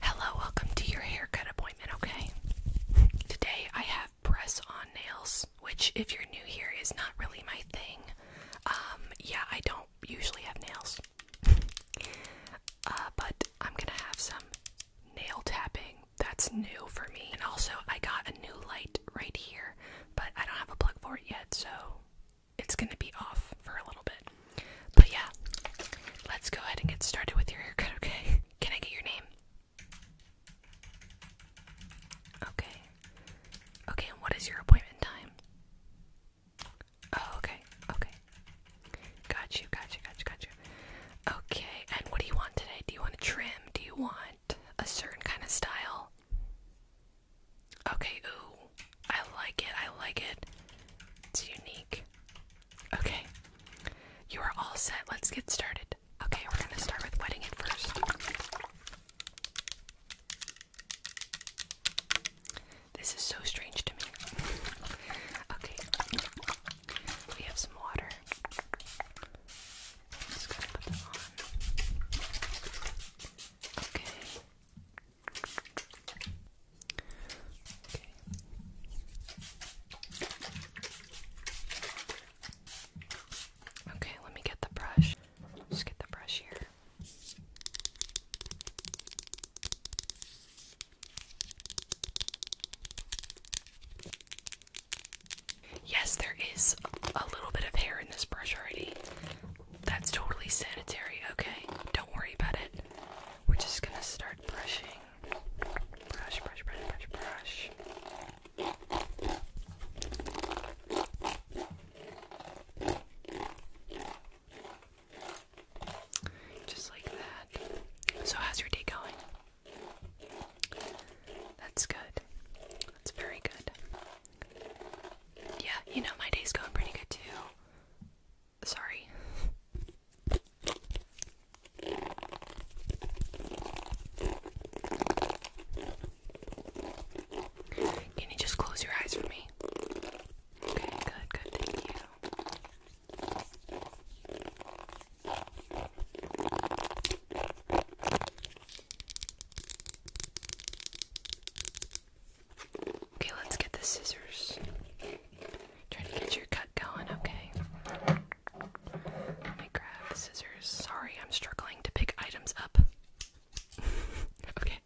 Hello, welcome to your haircut appointment, okay? Today I have press on nails, which, if you're new here, is not really my thing. Um, yeah, I don't usually have nails. uh, but I'm gonna have some nail tapping. That's new for me. And also, I got a new light right here, but I don't have a plug for it yet, so it's gonna be off for a little bit it. But yeah, let's go ahead and get started with your haircut, okay? Can I get your name? Okay. Okay, and what is your appointment time? Oh, okay, okay. Got you, got you, got you, got you. Okay, and what do you want today? Do you want a trim? Do you want a certain kind of style? Okay, ooh. I like it, I like it. It's unique. Okay. You are all set. Let's get started. Okay, we're going to start with wedding it first. This is so strange to me. okay. We have some water. just going to put them on. Okay. Okay. Okay, let me get the brush. Just get the brush here. Yes, there is a little bit of hair in this brush already. That's totally sanitary, okay? Don't worry about it. We're just gonna start brushing Brush, brush, brush, brush, brush. Just like that. So, how's your day going? That's good. That's very good. Yeah, you know, my day's going pretty good too. Sorry. Can you just close your eyes for me? Okay, good, good, thank you. Okay, let's get the scissors. Try to get your cut going, okay? Let me grab the scissors. Sorry, I'm struggling to pick items up. okay,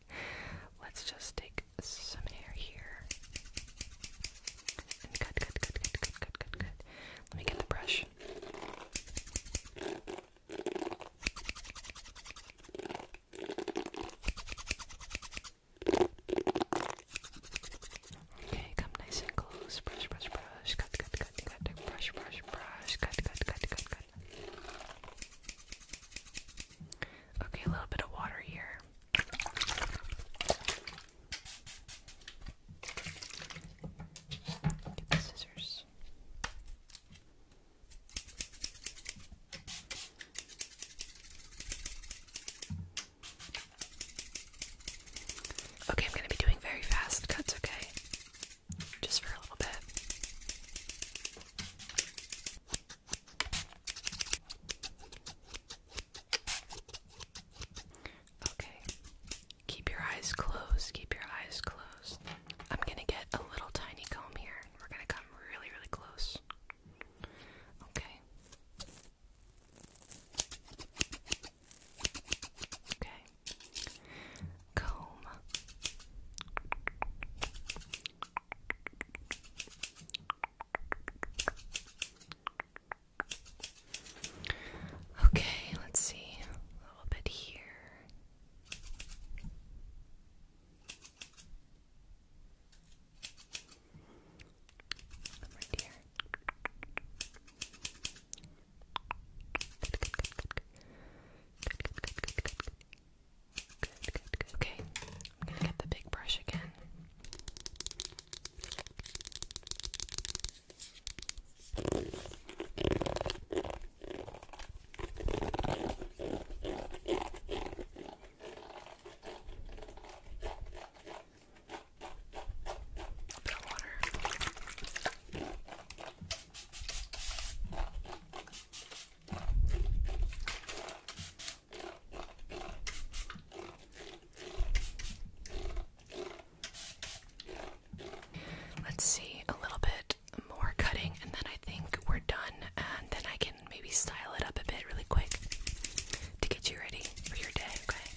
let's just take some hair here. And cut, cut, cut, cut, cut, cut, Let me get the brush. Okay, come nice and close. Brush, brush, brush. Cut, cut, cut, cut. Brush, brush, brush. Cut, cut, cut, cut, cut. Okay, a little bit of water here. Get the scissors. Okay, I'm going to be doing very fast cuts, okay? Just for a little bit. Okay. Keep your eyes closed. Keep your eyes closed. I'm going to get a little tiny comb here. We're going to come really, really close. Okay. Okay. Comb. Okay, let's see a little bit here. I'm Okay, I'm gonna get the big brush again. Let's see a little bit more cutting, and then I think we're done, and then I can maybe style it up a bit really quick to get you ready for your day, okay?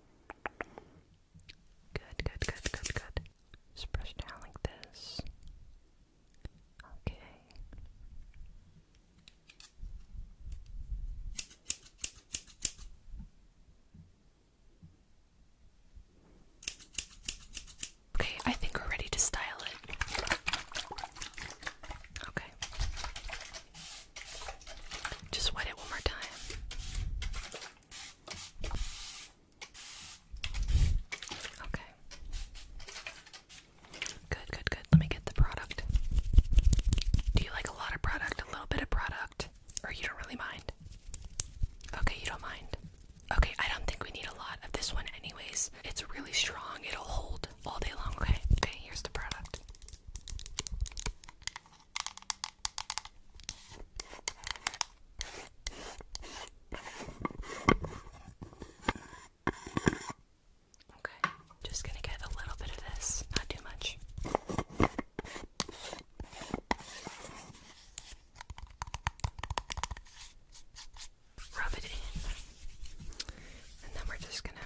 Good, good, good, good, good. Just brush down like this. Okay. Okay, I think we're ready to style it. Okay. Just wet it one more time. Okay. Good, good, good. Let me get the product. Do you like a lot of product, a little bit of product, or you don't really mind? Okay, you don't mind. Okay, I don't think we need a lot of this one, anyways. It's really strong, it'll hold all day long. Okay, okay, here's the product. Okay, just gonna get a little bit of this, not too much. Rub it in, and then we're just gonna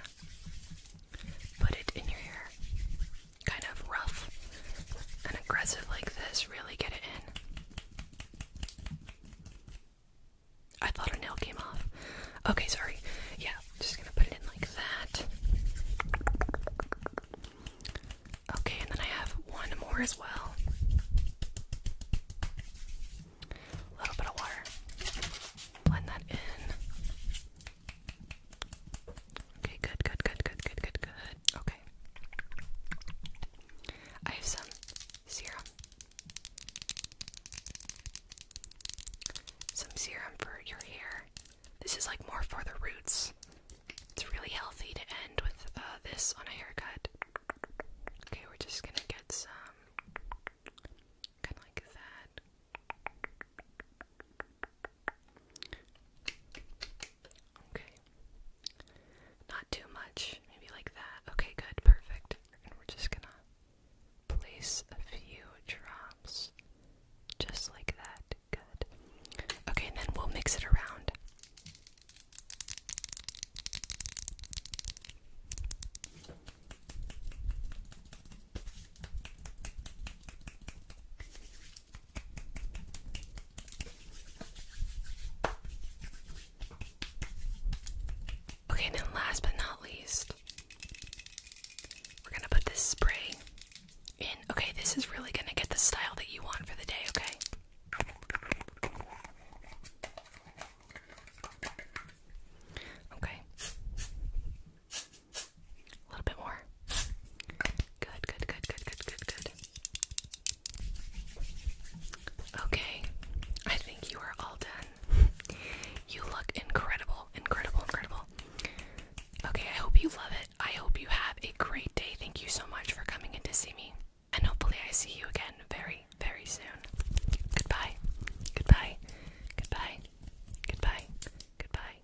put it in your hair kind of rough and aggressive like this, really get it in. I thought a nail came off. Okay, sorry. Yeah, just gonna put it in like that. Okay, and then I have one more as well. A little bit of water. Blend that in. Okay, good, good, good, good, good, good, good. Okay. I have some serum. Some serum for your hair. This is like more for the roots. It's really healthy to end with uh, this on a haircut. Okay, we're just gonna get some. like that. Okay. Not too much, maybe like that. Okay, good, perfect. And we're just gonna place a few drops just like that. Good. Okay, and then we'll mix it around. Okay, then last but not least, we're gonna put this spray in. Okay, this is really gonna get the style that you want for the day, okay? Okay. A little bit more. Good, good, good, good, good, good, good. Okay, I think you are all done. You look incredible, incredible, incredible. Okay, I hope you love it. I hope you have a great day. Thank you so much for coming in to see me. And hopefully, I see you again very, very soon. Goodbye. Goodbye. Goodbye. Goodbye. Goodbye.